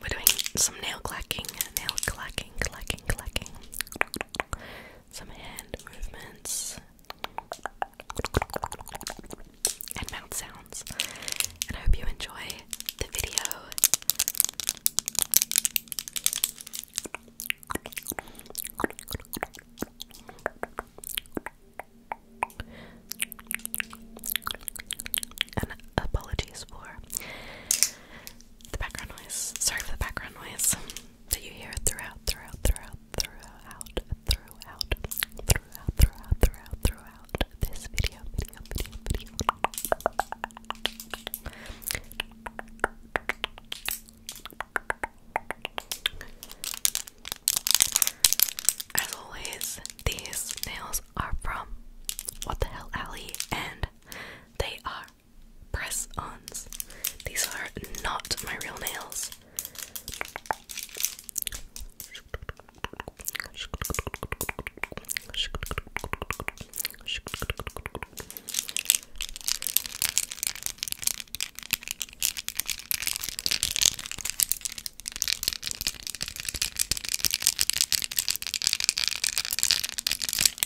we're doing some nail clacking, nail clacking, clacking, clacking. Some hand movements and mouth sounds. And I hope you enjoy the video. And apologies for the background noise. Sorry for the background noise that you hear throughout, throughout, throughout, throughout, throughout, throughout, throughout, throughout, this video, video, video, video. As always, these nails are from What the Hell Alley and they are press ons. These are not my real nails.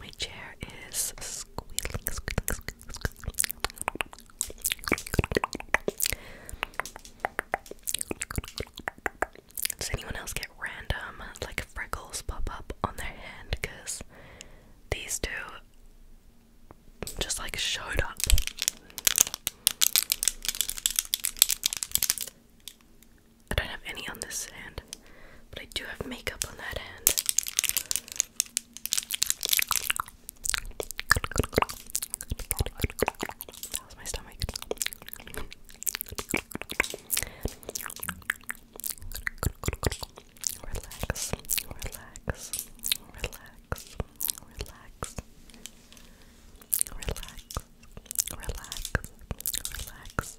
My chair is squealing, Does anyone else get random like freckles pop up on their hand? Because these two just like showed up. I don't have any on this hand, but I do have makeup on that hand. That my stomach. Relax, relax, relax, relax. Relax, relax, relax,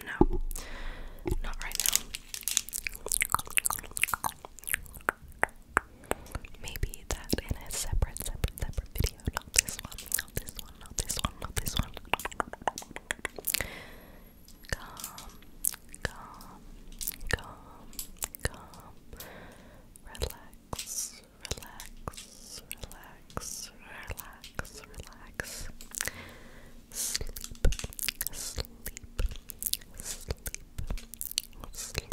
No, not right now. Maybe that in a separate, separate, separate video. Not this one, not this one, not this one, not this one calm, calm, calm. Relax, relax, relax, relax, relax. Sleep, sleep, sleep, sleep, sleep.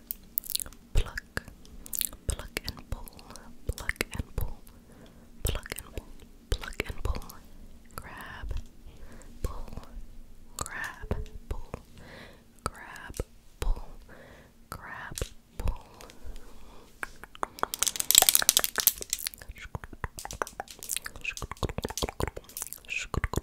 pluck, pluck and pull, pluck and pull, pluck and pull, pluck and pull, grab, pull, grab, pull, grab, pull, grab, pull. pull.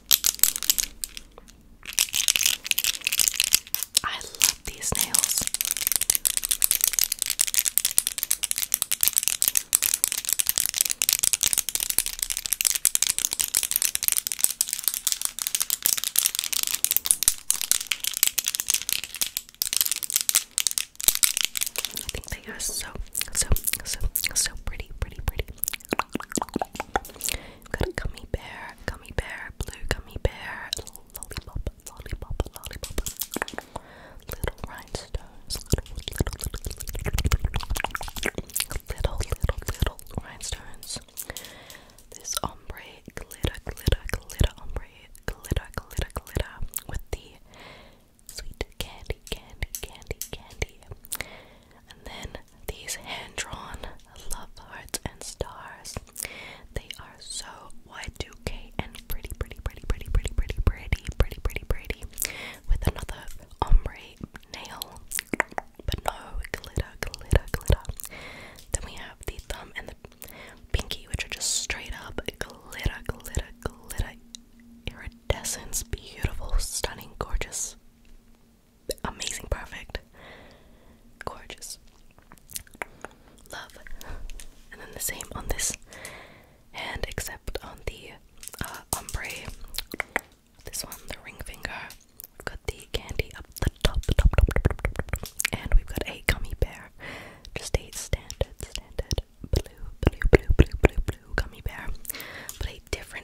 I love these nails. I think they are so, so, so, so pretty, pretty, pretty. I've got a gummy bear, gummy bear, blue gummy bear, lollipop, lollipop, lollipop, little rhinestones, little, little, little, little, little, little rhinestones. This ombre glitter, glitter, glitter, ombre glitter, glitter, glitter with the sweet candy, candy, candy, candy. And then these hand drawn love hearts and stars. They are so Y2K and pretty, pretty, pretty, pretty, pretty, pretty, pretty, pretty, pretty, pretty. With another ombre nail, but no glitter, glitter, glitter. Then we have the thumb and the pinky, which are just straight up glitter, glitter, glitter. Iridescence, beautiful, stunning, gorgeous amazing, perfect, gorgeous. Love. And then the same on this hand, except on the uh, ombre. This one, the ring finger. We've got the candy up the top, top, top, top, top, top, and we've got a gummy bear. Just a standard, standard blue, blue, blue, blue, blue, blue gummy bear, but a different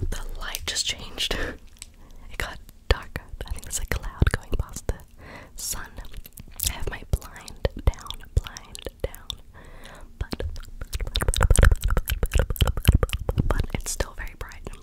The light just changed. It got darker. I think there's a cloud going past the sun. I have my blind down, blind down. but, but it's still very bright.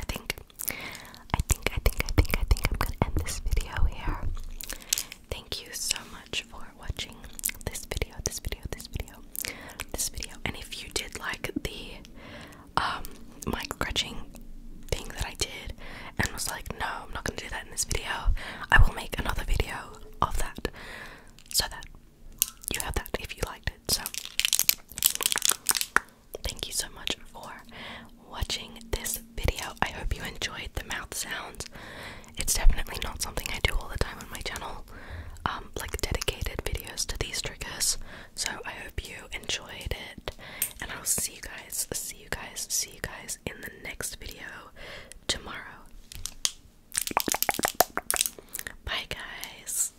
I think, I think, I think, I think, I think I'm gonna end this video here. Thank you so much for watching this video, this video, this video, this video. And if you did like the um mic scratching thing that I did and was like, no, I'm not gonna do that in this video, I will make another video of that so that you have that if you liked it. So thank you so much for watching this video. I hope you enjoyed the mouth sounds. It's definitely not something I do all the time on my channel, um, like dedicated videos to these triggers. So I hope you enjoyed it, and I'll see you guys, see you guys, see you guys in the next video tomorrow. Bye, guys.